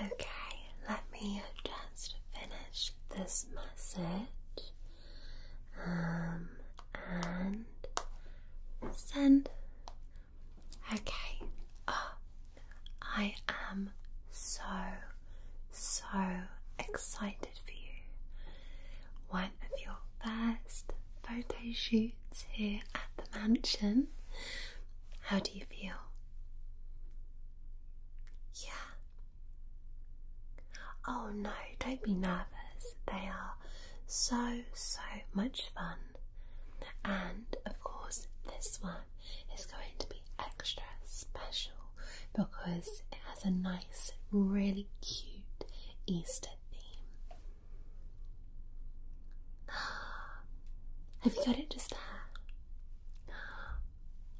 Okay, let me just finish this message um, and send. Okay. Oh, I am so, so excited for you. One of your first photo shoots here at the mansion. How do you feel? Yeah, Oh no, don't be nervous. They are so, so much fun. And of course, this one is going to be extra special because it has a nice, really cute Easter theme. Have you got it just there?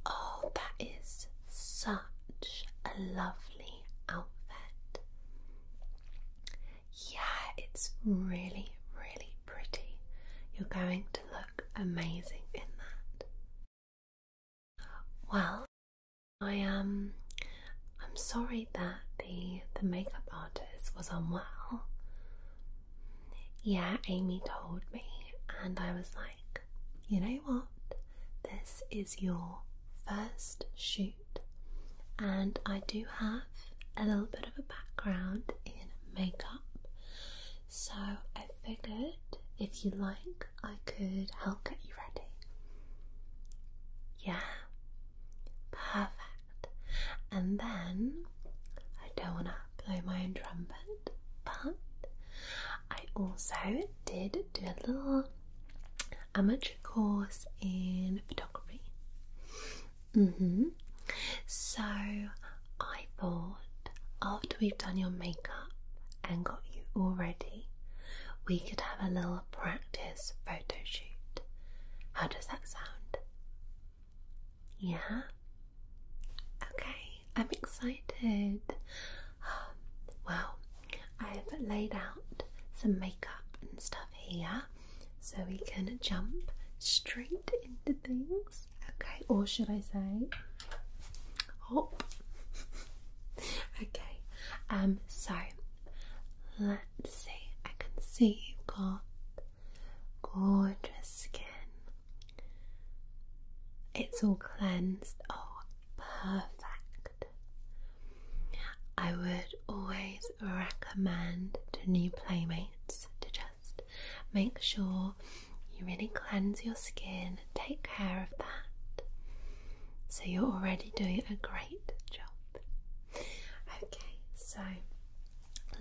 Oh, that is such a lovely outfit. Yeah, it's really, really pretty. You're going to look amazing in that. Well, I um I'm sorry that the the makeup artist was unwell. Yeah, Amy told me and I was like, you know what? this is your first shoot, and I do have a little bit of a background in makeup, so I figured if you like, I could help get you ready. Yeah, perfect. And then I don't want to blow my own trumpet, but I also did do a little amateur course in photography. hmm. So I thought after we've done your makeup and got you all ready, we could have a little practice photo shoot. How does that sound? Yeah? Okay, I'm excited. well, I've laid out some makeup and stuff here so we can jump straight into things, okay? Or should I say, hop? okay, um, so let's see. I can see you've got gorgeous skin. It's all cleansed. Oh, perfect. I would always recommend to new playmates to just make sure you really cleanse your skin, take care of that. So you're already doing a great job. Okay, so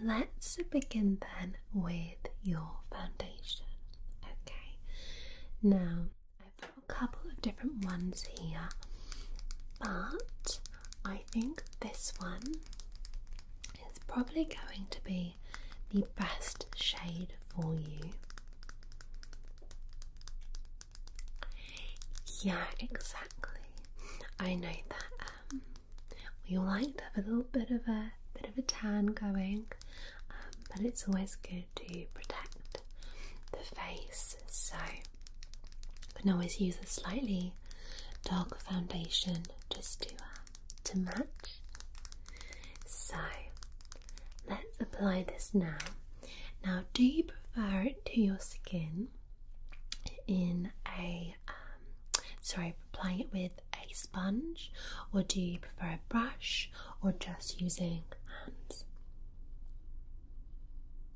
let's begin then with your foundation. Okay, now I've got a couple of different ones here, but I think this one is probably going to be the best shade for you. Yeah, exactly. I know that um, we all like to have a little bit of a bit of a tan going, but it's always good to protect the face. So you can always use a slightly darker foundation just to uh, to match. So let's apply this now. Now, do you prefer it to your skin in a um, sorry, applying it with a sponge, or do you prefer a brush? or just using hands?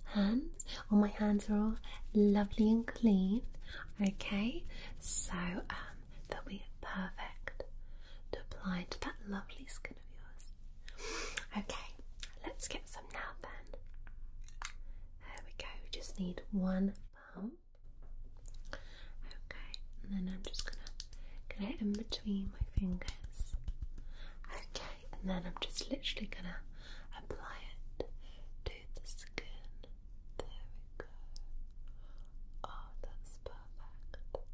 Hands? well, my hands are all lovely and clean. Okay, so um, they'll be perfect to apply to that lovely skin of yours. Okay, let's get some now then. There we go, we just need one pump. Okay, and then I'm just gonna Get it in between my fingers. Okay, and then I'm just literally gonna apply it to the skin. There we go. Oh, that's perfect.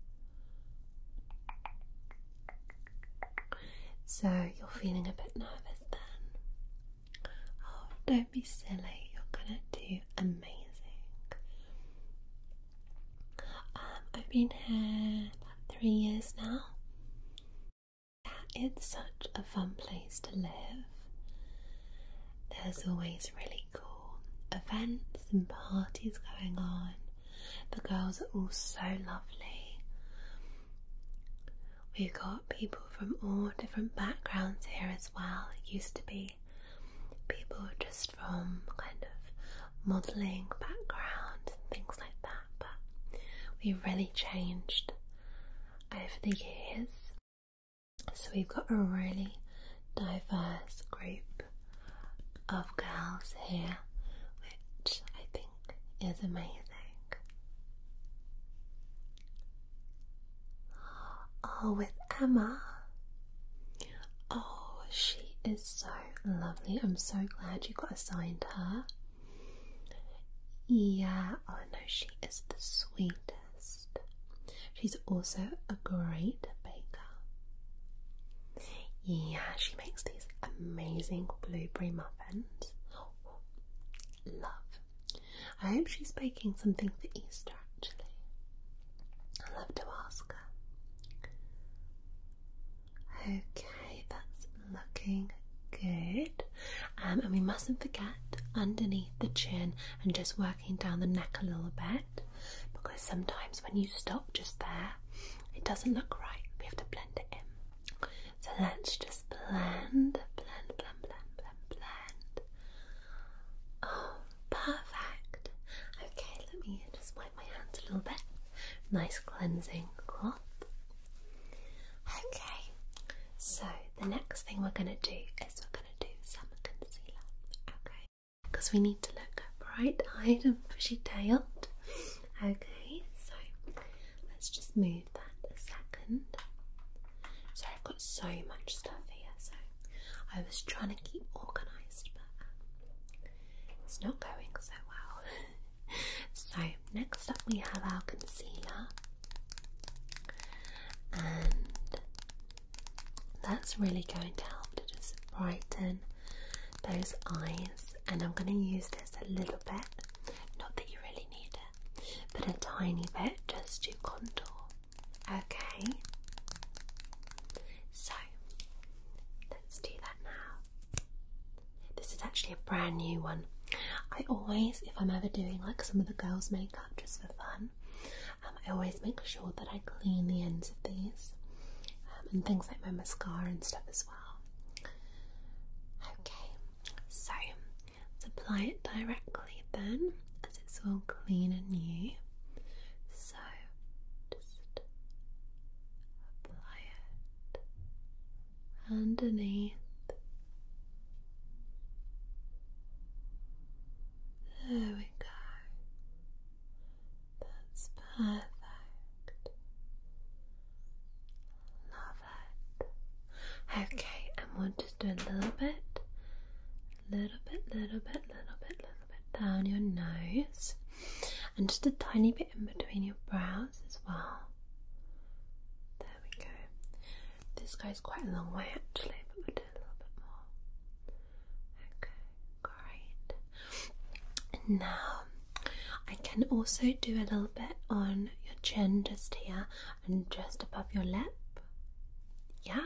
So you're feeling a bit nervous then? Oh, don't be silly, you're gonna do amazing. Um, I've been here about three years now. It's such a fun place to live. There's always really cool events and parties going on. The girls are all so lovely. We've got people from all different backgrounds here as well. It used to be people were just from kind of modelling background and things like that, but we've really changed over the years. So we've got a really diverse group of girls here, which I think is amazing. Oh, with Emma. Oh, she is so lovely. I'm so glad you got assigned her. Yeah, I oh, know she is the sweetest. She's also a great baker. Yeah, she makes these amazing blueberry muffins. love. I hope she's baking something for Easter actually. I'd love to ask her. Okay, that's looking good. Um, and we mustn't forget underneath the chin and just working down the neck a little bit because sometimes when you stop just there, it doesn't look right. We have to blend it in. So let's just blend, blend, blend, blend, blend, blend. Oh, perfect. Okay, let me just my hands a little bit. Nice cleansing cloth. Okay, so the next thing we're going to do is we're going to do some concealer. Okay, because we need to look bright eyed and bushy tailed. Okay, so let's just move that a second. So I've got so much stuff here, so I was trying to keep organised, but um, it's not going so well. so, next up we have our concealer, and that's really going to help to just brighten those eyes. And I'm going to use this a little bit, not that you really need it, but a tiny bit just to contour. Okay, so. Let's do that now. This is actually a brand new one. I always, if I'm ever doing like some of the girls' makeup just for fun, um, I always make sure that I clean the ends of these um, and things like my mascara and stuff as well. Okay, so let apply it directly then, as it's all clean and new. So just apply it underneath there we go that's perfect love it okay and we'll just do a little bit little bit little bit little bit, little bit down your nose, and just a tiny bit in between your brows as well. There we go. This goes quite a long way actually, but we do a little bit more. Okay, great. now I can also do a little bit on your chin just here and just above your lip. Yeah.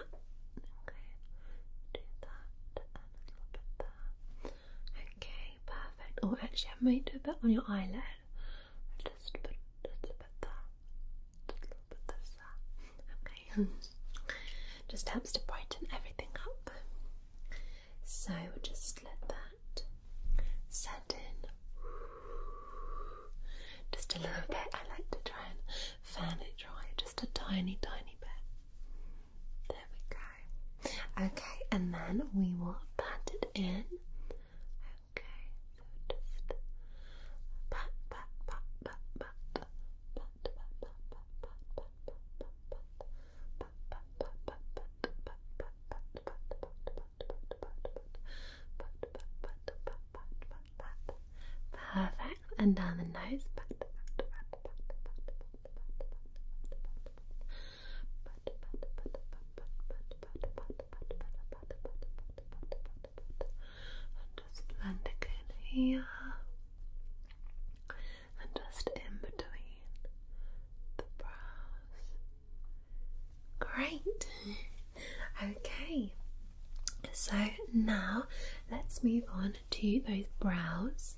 Okay. Do that and a little bit there. Okay, perfect. Oh, actually, I might do a bit on your eyelid. Just a just a bit there. Just a little bit this Okay. just helps to brighten everything up. So just let that set in. Just a little bit. I like to try and fan it dry, just a tiny, tiny bit. There we go. Okay. Okay, and then we will pat it in. Okay, so just pat, pat, pat, pat, pat, pat, pat, pat, pat, pat, pat, pat, pat, Perfect. And down the nose. Pat, pat, pat, pat, pat, pat, and just blending in here and just in between the brows. Great. okay. So now let's move on to those brows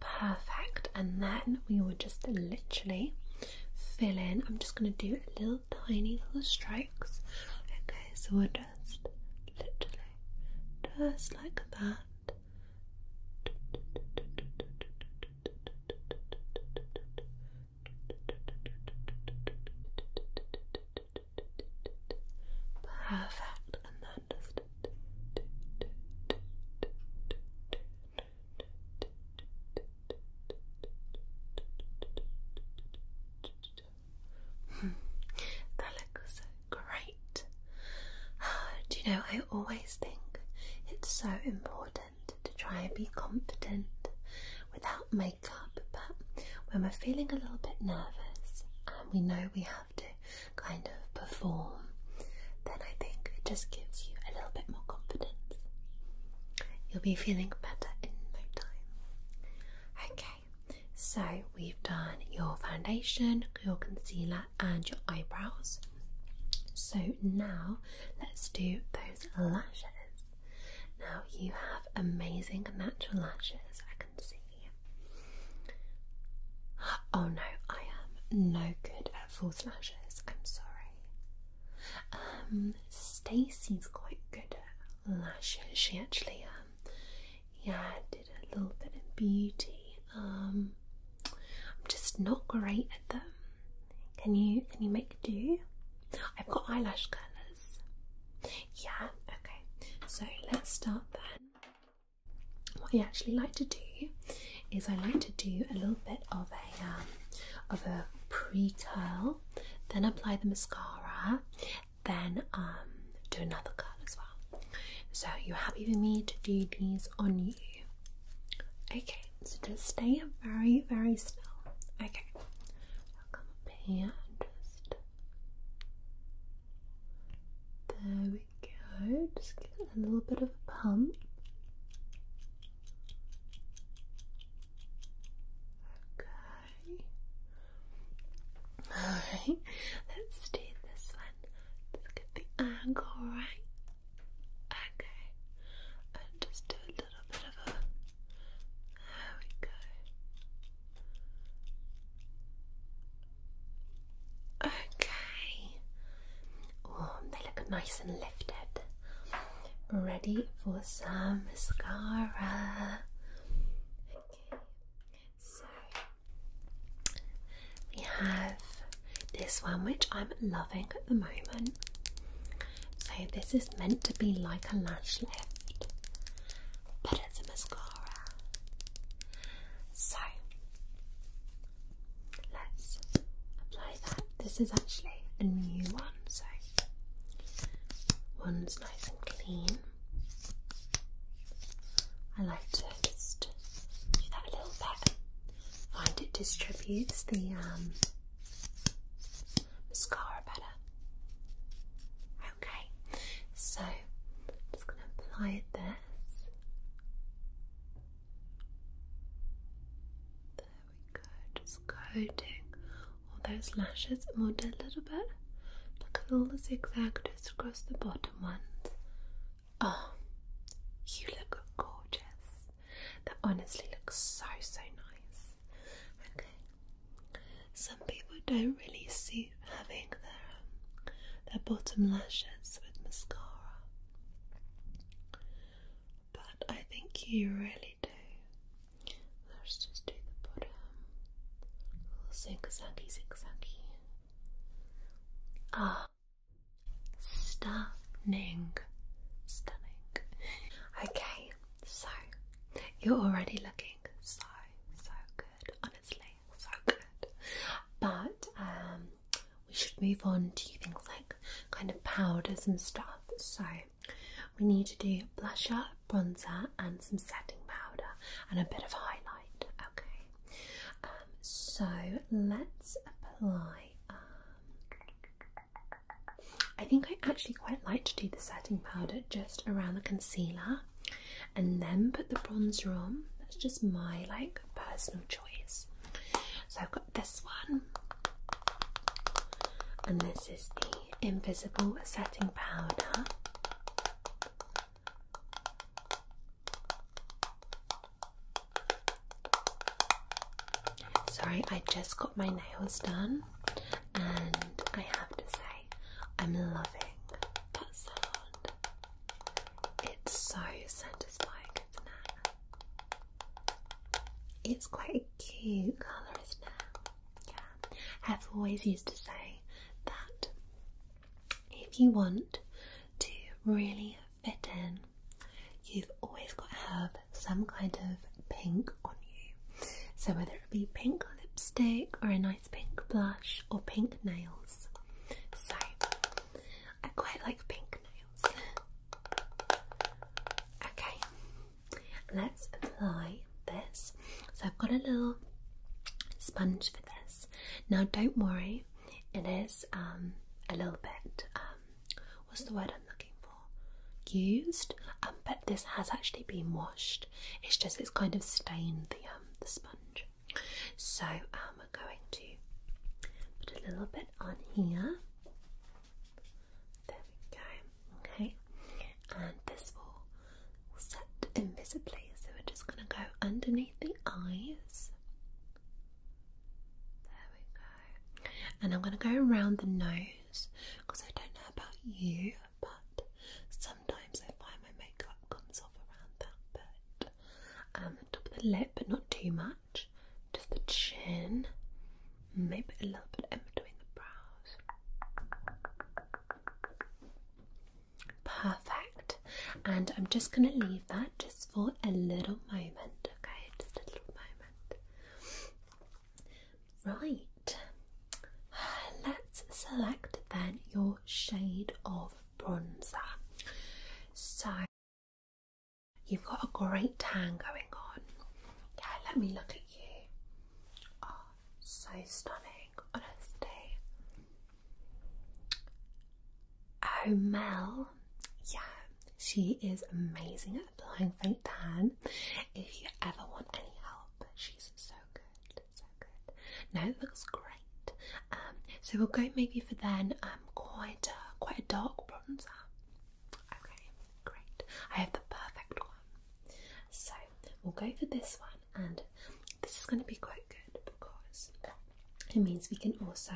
Perfect, and then we will just literally fill in. I'm just going to do a little tiny little strokes. Okay, so we'll just literally, just like that. Perfect. And then hmm. that looks great. Do you know, I always think it's so important to try and be confident without makeup, but when we're feeling a little bit nervous we know we have to kind of perform, then I think it just gives you a little bit more confidence. You'll be feeling better in no time. Okay, so we've done your foundation, your concealer, and your eyebrows. So now let's do those lashes. Now you have amazing natural lashes. I Oh no, I am no good at false lashes. I'm sorry. Um, Stacey's quite good at lashes. She actually, um, yeah, did a little bit of beauty. Um, I'm just not great at them. Can you can you make do? I've got eyelash curlers. Yeah, okay, so let's start then. What I actually like to do is I like to do a little bit of a um, of a pre curl, then apply the mascara, then um, do another curl as well. So you're happy with me to do these on you? Okay, so just stay very very still. Okay, come here just there we go. Just get a little bit of a pump. Okay. Alright, let's do this one. Let's get the angle right. Okay. And just do a little bit of a there we go. Okay. Oh, they look nice and lifted. Ready for some mascara. Okay, so we have this one which I'm loving at the moment. So, this is meant to be like a lash lift, but bits mascara. So let's apply that. This is actually a new one, so one's nice and clean. I like to just do that a little bit. Find it distributes the um, mascara better. Okay, so I'm just going to apply this. There we go, just coating all those lashes and a little bit. Look at all the zigzag just across the bottom ones. Oh, you look gorgeous. That honestly looks so, so nice. Okay, some people don't really suit having their um, their bottom lashes with mascara, but I think you really do. Let's just do the bottom. Little zigzaggy, zigzaggy. Ah, stunning, stunning. Okay, so you're already looking so so good honestly, so good. But um, we should move on to things like kind of powders and stuff. So we need to do blusher, bronzer, and some setting powder and a bit of highlight. Okay, um, so let's apply. Um, I think I actually quite like to do the setting powder just around the concealer and then put the bronzer on. That's just my like personal choice. So I've got this one, and this is the Invisible Setting Powder. Sorry, I just got my nails done, and I have to say, I'm loving that sound. It's so satisfying, It's quite a cute colour, isn't it? Yeah. I've always used to say that if you want to really fit in, you've always got to have some kind of pink on you. So whether it be pink lipstick or a nice nice pink blush or pink nails. So, I quite like pink nails. Okay, let's apply this. So, I've got a little sponge for this. Now, don't worry, it is um, a little bit um, what's the word I'm looking for? Used, um, but this has actually been washed. It's just it's kind of stained the. Um, the sponge. So I'm um, going to put a little bit on here. There we go. Okay, and this will set invisibly. So we're just going to go underneath the eyes. There we go. And I'm going to go around the nose because I don't know about you but sometimes I find my makeup comes off around that bit. Um, the top of the lip, but not too much. Just the chin, maybe a little bit in between the brows. Perfect. And I'm just gonna leave that just for a little moment, okay? Just a little moment. Right. Let's select then your shade of bronzer. So you've got a great tan going on. Yeah, let me look at you. Oh, so stunning, honestly. Oh, Mel. Yeah, she is amazing at applying fake tan. If you ever want any help, she's so good so good. No, it looks great. Um, so we'll go maybe for then um, quite a, quite a dark bronzer. Okay, great. I have the perfect one. So we'll go for this one, and this is going to be quite good because it means we can also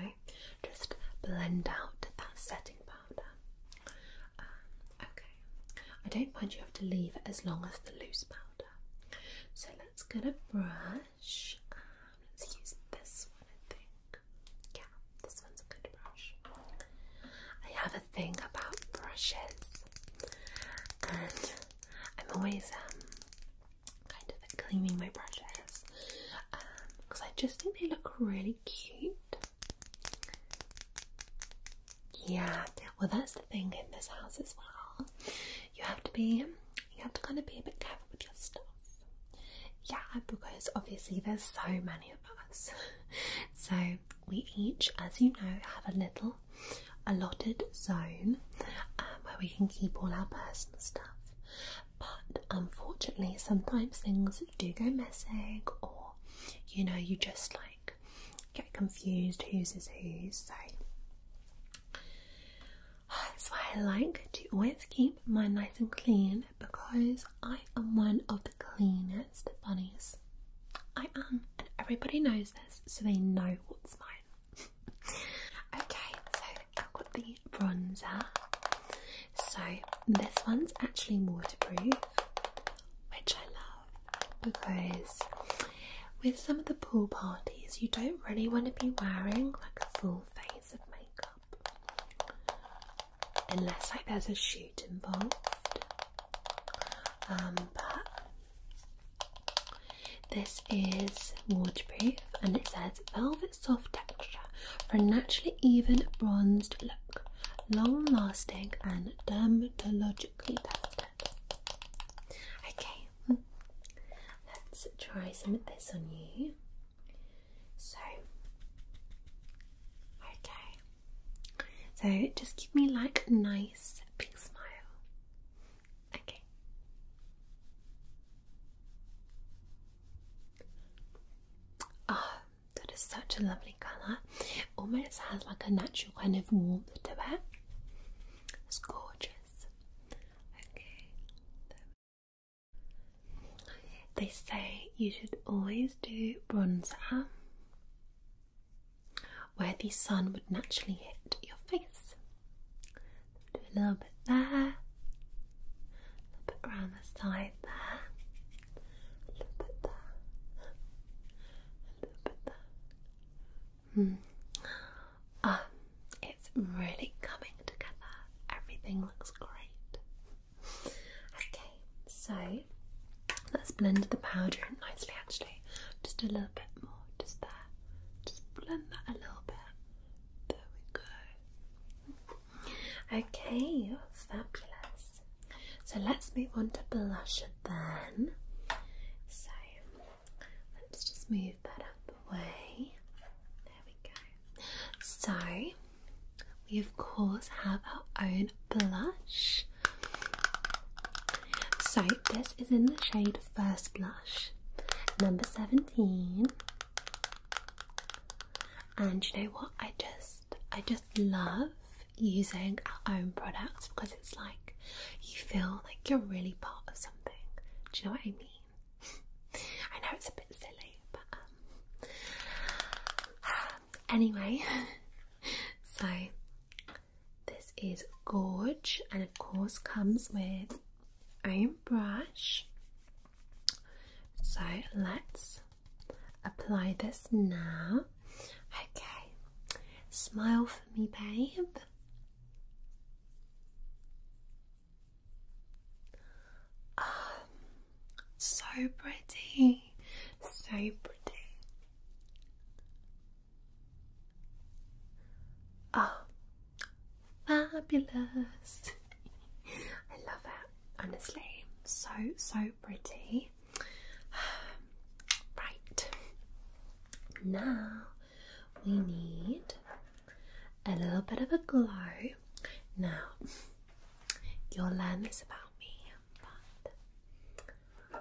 just blend out that setting powder. Um, okay, I don't mind you have to leave as long as the loose powder. So let's get a brush. Um, let's use this one, I think. Yeah, this one's a good brush. I have a thing about brushes, and I'm always um, kind of cleaning my brushes because um, I just think they look really cute. Yeah, well that's the thing in this house as well. You have to be you have to kind of be a bit careful with your stuff. Yeah, because obviously there's so many of us. So we each, as you know, have a little allotted zone um, where we can keep all our personal stuff. But unfortunately sometimes things do go missing or you know, you just like get confused whose is whose. So that's why I like to always keep mine nice and clean because I am one of the cleanest bunnies. I am, and everybody knows this, so they know what's mine. okay, so I've got the bronzer. So this one's actually waterproof, which I love because with some of the pool parties, you don't really want to be wearing like a full face of makeup unless like there's a shoot involved. Um, but this is waterproof and it says velvet soft texture for a naturally even bronzed look, long lasting and dermatologically tested. Okay, let's try some of this on you. So, okay, so just give me like a nice big smile. Okay. Oh, that is such a lovely colour. Almost has like a natural kind of warmth to it. It's gorgeous. Okay. They say you should always do bronzer where the sun would naturally hit your face. Do a little bit there, a little bit around the side there, a little bit there, a little bit there, Hmm. Ah, it's really coming together. Everything looks great. Okay, so let's blend the powder in nicely actually. Just a little bit more, just there. Just blend that a little bit. There we go. Okay, fabulous. So let's move on to blush. then. So Let's just move that out the way. There we go. So, we of course have our own blush. So, this is in the shade First Blush, number 17. And you know what? I just I just love using our own products because it's like you feel like you're really part of something. Do you know what I mean? I know it's a bit silly, but um, anyway, so this is Gorge, and of course, comes with own brush. So let's apply this now. Okay, smile for me, babe. Um, so pretty, so pretty. Oh, fabulous. I love it, honestly. So, so pretty. Right. Now we need a little bit of a glow. Now, you'll learn this about me, but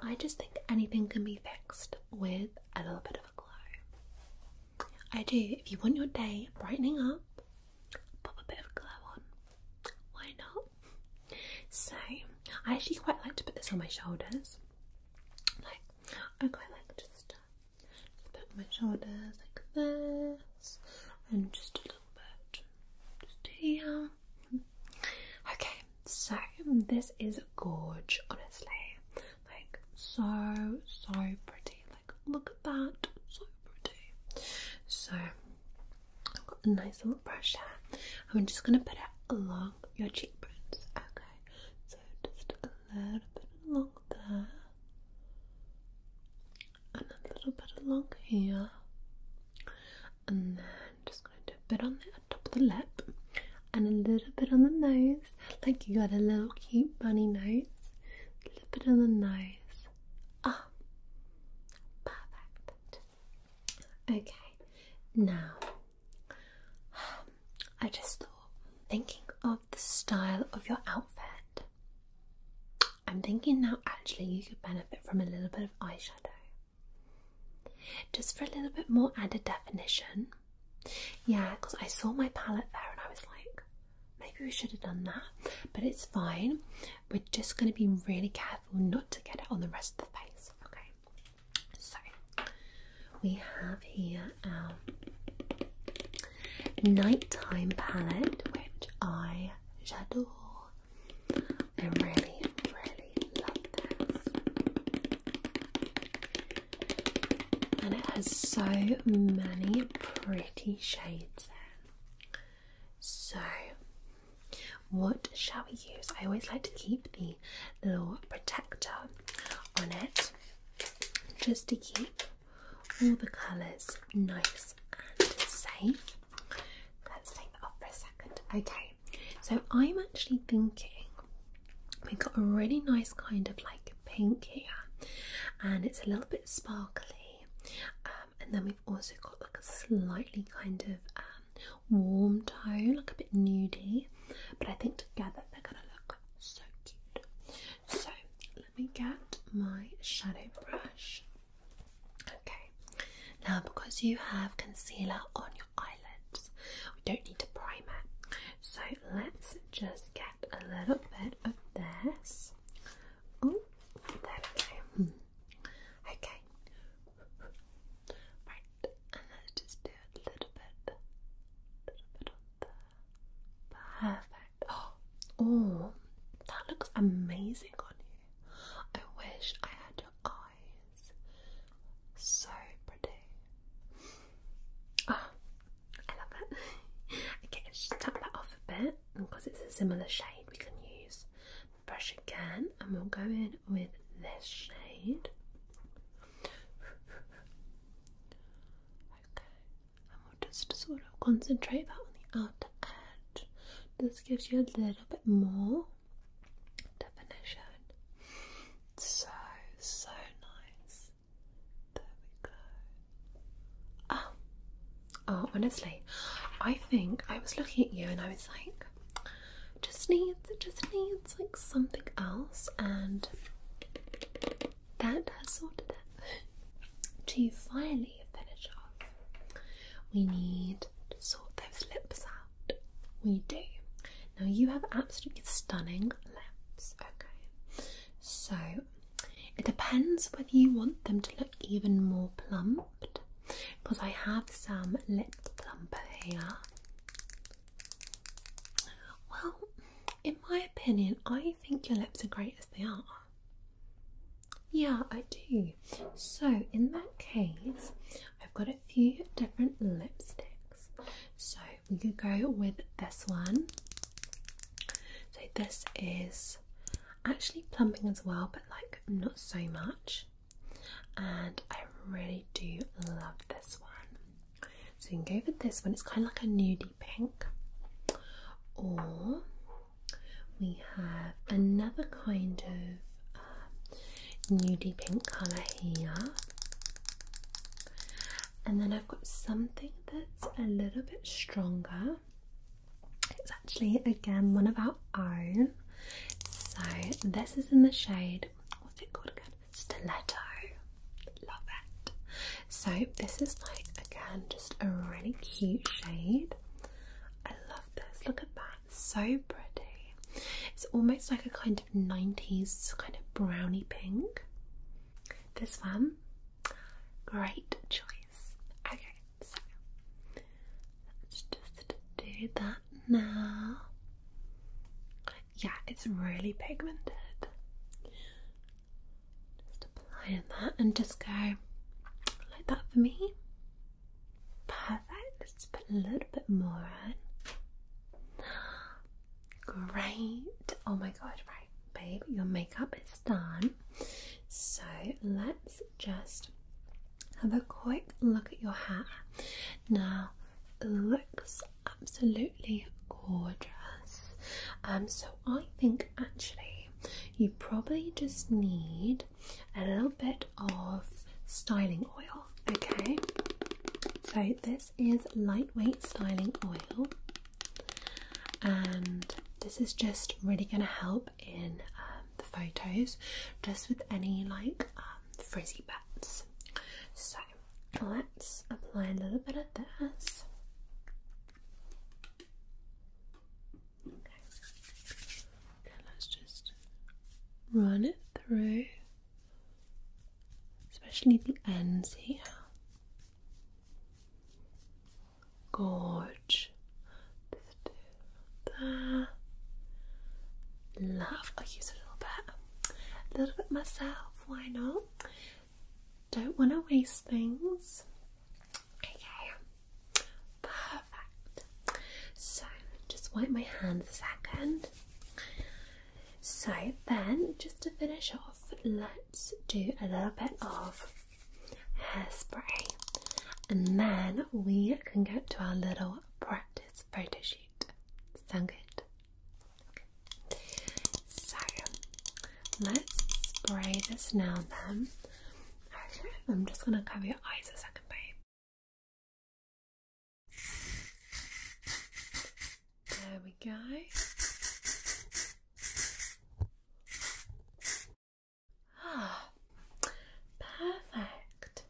I just think anything can be fixed with a little bit of a glow. I do. If you want your day brightening up, pop a bit of glow on. Why not? So, I actually quite like to put this on my shoulders like, I quite like just, uh, just put my shoulders like this, and just a little bit, just here. Okay, so this is gorge, honestly. Like, so, so pretty. Like, look at that, so pretty. So, I've got a nice little brush here. I'm just gonna put it along your cheekbones. Okay, so just a little bit along there, and a little bit along here, and then just going to a bit on the top of the lip, and a little bit on the nose, like you got a little cute bunny nose. A little bit on the nose. Ah, perfect. Okay, now I just thought, thinking of the style of your outfit, I'm thinking now actually you could benefit from a little bit of eyeshadow. Just for a little bit more added definition. Yeah, because I saw my palette there and I was like, maybe we should have done that, but it's fine. We're just going to be really careful not to get it on the rest of the face, okay? So we have here our nighttime palette, which I adore. I really, really love this, and it has so many pretty shades in. So, what shall we use? I always like to keep the little protector on it just to keep all the colours nice and safe. Let's take that off for a second. Okay, so I'm actually thinking we've got a really nice kind of like pink here and it's a little bit sparkly. Um, and then we've also got like a slightly kind of um, warm tone, like a bit nudie. But I think together they're gonna look so cute. So let me get my shadow brush. Okay, now because you have concealer on your eyelids, we don't need to prime it. So let's just get a little bit of this. Oh, there we go. Hmm. Okay, Right, and let's just do a little bit, little bit on there. Perfect. Oh, oh, that looks amazing on you. I wish I had your eyes. So pretty. Oh, I love it. Okay, just tap that off a bit because it's a similar shade. We can use brush again, and we'll go in with this shade. Okay, and we just sort of concentrate that on the outer edge. This gives you a little bit more definition. So, so nice. There we go. Oh, oh honestly, I think I was looking at you and I was like, just needs it just needs like something else and that has sorted it. to finally finish off, we need to sort those lips out. We do. Now you have absolutely stunning lips, okay? So it depends whether you want them to look even more plumped because I have some lip plumper here. Well, in my opinion, I think your lips are great as they are. Yeah, I do. So, in that case, I've got a few different lipsticks. So, we could go with this one. So, this is actually plumping as well, but like not so much and I really do love this one. So you can go for this one, it's kind of like a nudie pink, or we have another kind of uh, nudie pink colour here. And then I've got something that's a little bit stronger. It's actually again one of our own. So this is in the shade, what's it called again? stiletto. Love it. So this is like again just a really cute shade. I love this. Look at that. So pretty. It's almost like a kind of 90s kind of brownie pink. This one. Great choice. Okay, so let's just do that now. Yeah, it's really pigmented. Just applying that and just go like that for me. Perfect. Let's put a little bit more on. Great. Oh my god, right, babe, your makeup is done. So let's just have a quick look at your hair. Now, looks absolutely gorgeous. Um, so I think actually you probably just need a little bit of styling oil. Okay, so this is lightweight styling oil, and this is just really going to help in um, the photos, just with any like um, frizzy bits. So let's apply a little bit of this. Okay. let's just run it through, especially the ends here. Gorge. that. Love. I'll use a little bit a little bit myself. Why not? Don't want to waste things. Okay, perfect. So, just wipe my hands. a second. So, then just to finish off, let's do a little bit of hairspray and then we can go to our little practice photo shoot. Sound good? So let's spray this now then. Actually, I'm just gonna cover your eyes a second, babe. There we go. Ah, perfect.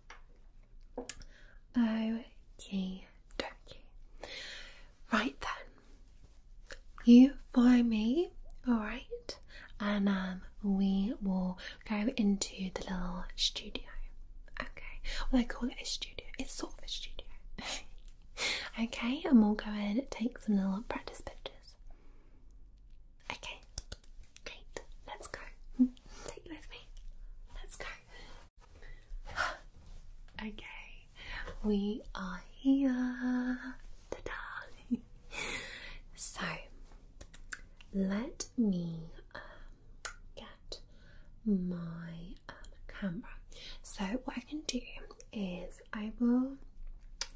Okay, dokie. Right then, you follow me, alright? And um, we will go into the little studio. Okay, well, I call it a studio, it's sort of a studio. okay, and we'll go in and take some little practice pictures. Okay, great, let's go. Take with me. Let's go. okay, we are here. Ta-da! so, let me um, get my um, camera. So, what I can do is I will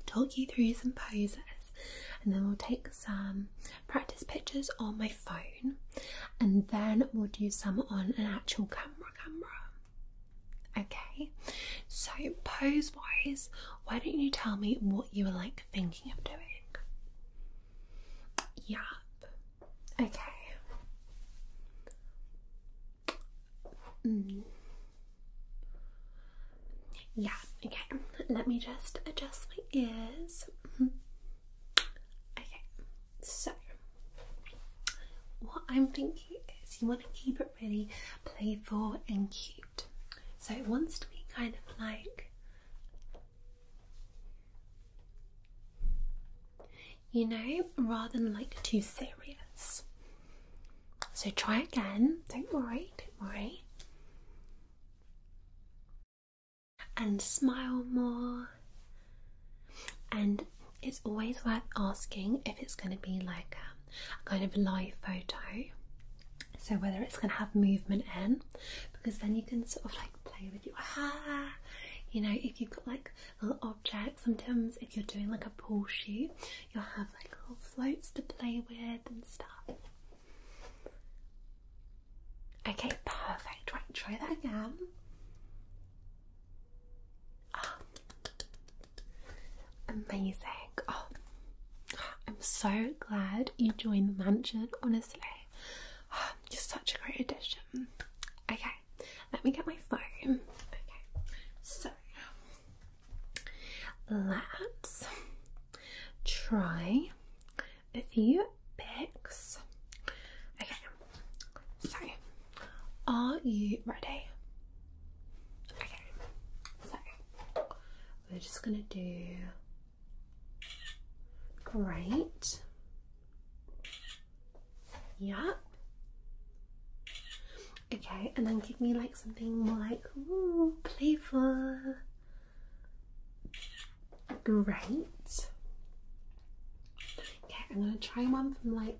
talk you through some poses and then we'll take some practice pictures on my phone and then we'll do some on an actual camera camera. Okay, so pose wise, why don't you tell me what you were like thinking of doing? Yep. Okay. Mm. Yeah, okay. Let me just adjust my ears. Mm-hmm. Okay. So, what I'm thinking is you want to keep it really playful and cute. So, it wants to be kind of like you know, rather than like too serious. So, try again, don't worry, don't worry and smile more. And it's always worth asking if it's going to be like um, a, kind of live photo. So whether it's going to have movement in, because then you can sort of like play with your hair. You know, if you've got like little objects, sometimes if you're doing like a pool shoot, you'll have like little floats to play with and stuff. Okay, perfect. Right, try that again. Ah. Amazing. Oh, I'm so glad you joined the mansion, honestly. just ah, such a great addition. Okay, let me get my phone. Okay, so let's try a few picks. Okay, so are you ready? Okay, so we're just gonna do great. Yep. Okay, and then give me like something more like ooh, playful. Great. Okay, I'm gonna try one from like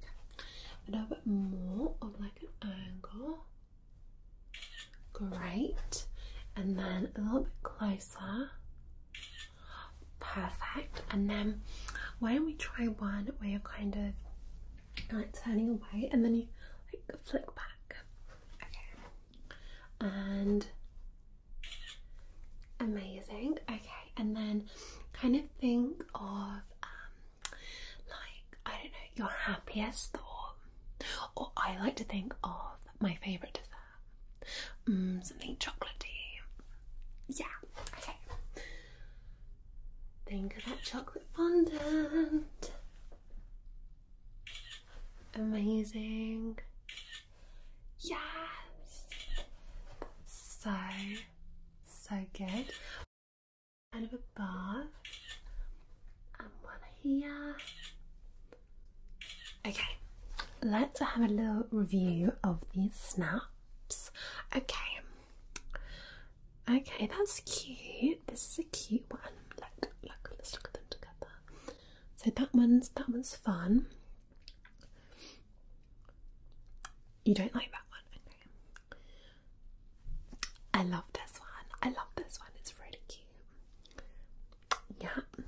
a little bit more of like an angle. Great. And then a little bit closer. Perfect. And then why don't we try one where you're kind of like turning away and then you like flick back. Okay. And Amazing. Okay, and then kind of think of um, like I don't know your happiest thought, or I like to think of my favorite dessert, mm, something chocolatey. Yeah. Okay. Think of that chocolate fondant. Amazing. Yes! So, so good. Kind of above, and one here. Okay, let's have a little review of these snaps. Okay, okay, that's cute. This is a cute one. let's look at them together. So that one's that one's fun. You don't like that one? I love this one. I love this one. It's really cute. Yeah.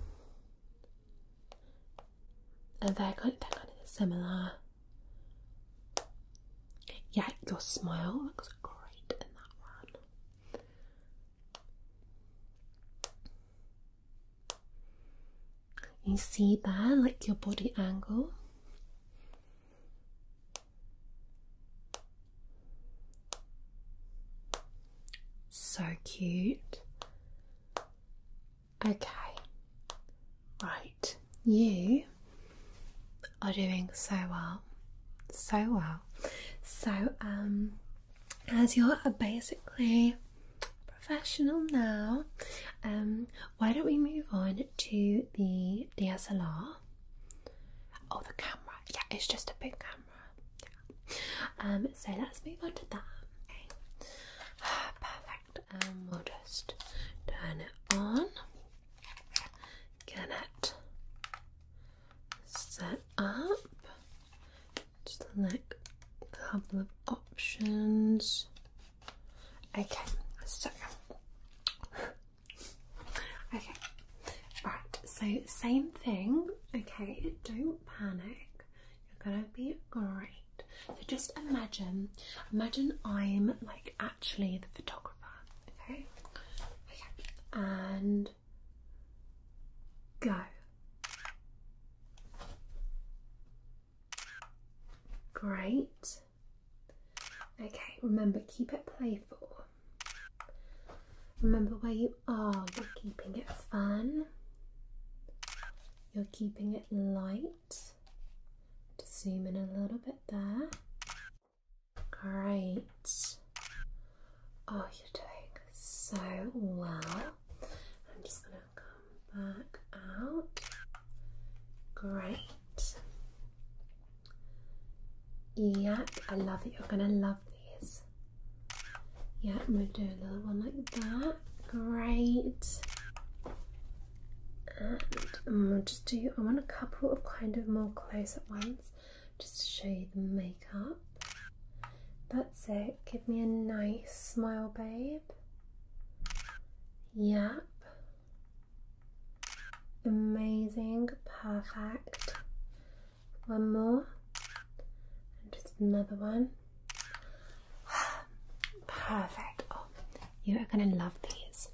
And they're kind of, they're kind of similar. Yeah, your smile looks great in that one. You see that, like your body angle. So cute. Okay, right, you are doing so well, so well. So, um, as you're a basically professional now, um, why don't we move on to the DSLR? Oh, the camera. Yeah, it's just a big camera. Um, so let's move on to that. perfect. Um, we'll just turn it on. Get it set up select a couple of options. Okay, so okay, right, so same thing. Okay, don't panic, you're gonna be great. So just imagine, imagine I'm like actually the photographer, okay? Okay, and go. Great. Okay, remember, keep it playful. Remember where you are. You're keeping it fun. You're keeping it light. Just zoom in a little bit there. Great. Oh, you're doing so well. I'm just going to come back out. Great. Yeah, I love it. You're gonna love these. Yeah, I'm gonna do a little one like that. Great. And I'm just do. I want a couple of kind of more close-up ones, just to show you the makeup. That's it. Give me a nice smile, babe. Yep. Amazing. Perfect. One more. And just another one. Perfect. Oh, you are going to love these.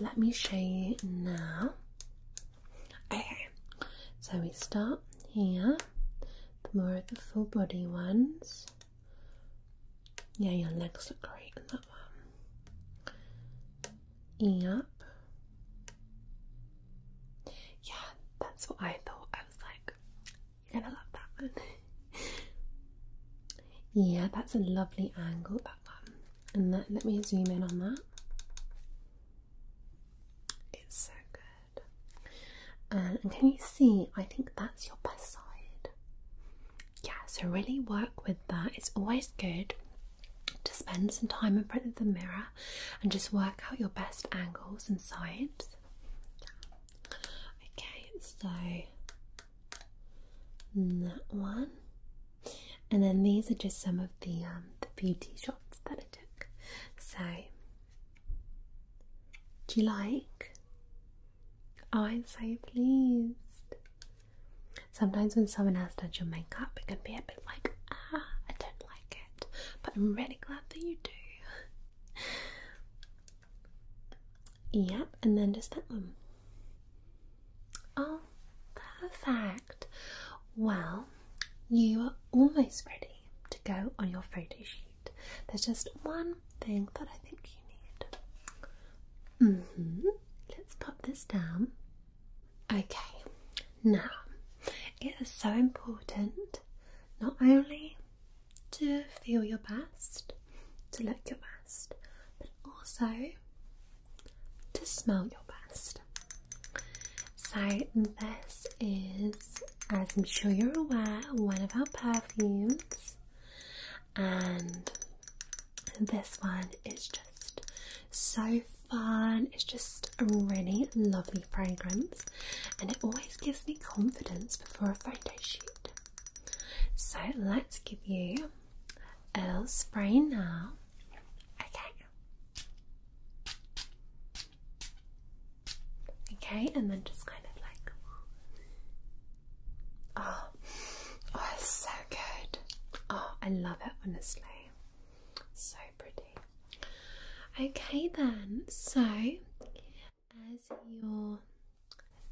let me show you now. Okay. So we start here more of the full body ones. Yeah, your legs look great in that one. Yep. Yeah, that's what I thought. I was like, you're gonna love that one. yeah, that's a lovely angle, that one. And let me zoom in on that. It's so good and can you see? I think that's your best side. Yeah, so really work with that. It's always good to spend some time in front of the mirror and just work out your best angles and sides. Okay, so that one, and then these are just some of the um, the beauty shots that I took. So do you like? Oh, I'm so pleased. Sometimes when someone has does your makeup, it can be a bit like, ah, I don't like it, but I'm really glad that you do. yep, and then just that one. Oh, perfect. Well, you are almost ready to go on your photo shoot. There's just one thing that I think you need. Mm-hmm. Let's pop this down. Okay, now it is so important not only to feel your best, to look your best, but also to smell your best. So, this is as I'm sure you're aware, one of our perfumes, and this one is just so fun. It's just a really lovely fragrance, and it always gives me confidence before a photo shoot. So let's give you a little spray now. Okay. Okay, and then just kind of like. Oh, oh, it's so good. Oh, I love it, honestly. So pretty. Okay, then, so as you're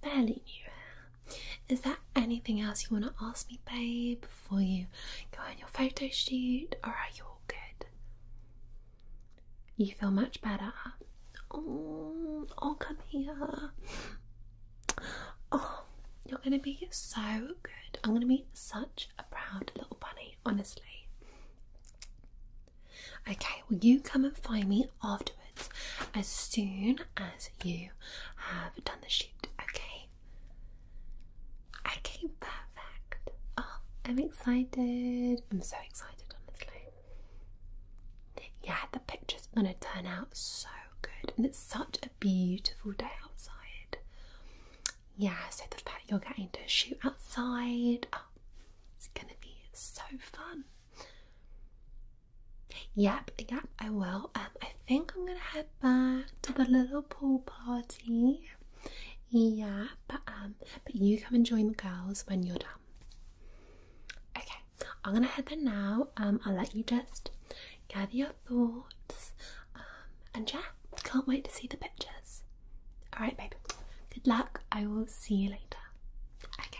fairly new is there anything else you want to ask me, babe, before you go on your photo shoot, or are you all good? You feel much better. I'll oh, oh, come here. Oh, you're gonna be so good. I'm gonna be such a proud little bunny, honestly. Okay, will you come and find me afterwards as soon as you have done the shoot, okay? Okay, perfect. Oh, I'm excited. I'm so excited, honestly. Yeah, the picture's are gonna turn out so good, and it's such a beautiful day outside. Yeah, so the fact you're getting to shoot outside, oh, it's gonna be so fun. Yep, yep, I will. Um, I think I'm gonna head back to the little pool party. Yeah, but um, but you come and join the girls when you're done Okay, I'm gonna head there now. Um, I'll let you just gather your thoughts. Um, and yeah, can't wait to see the pictures. All right, baby. Good luck. I will see you later. Okay.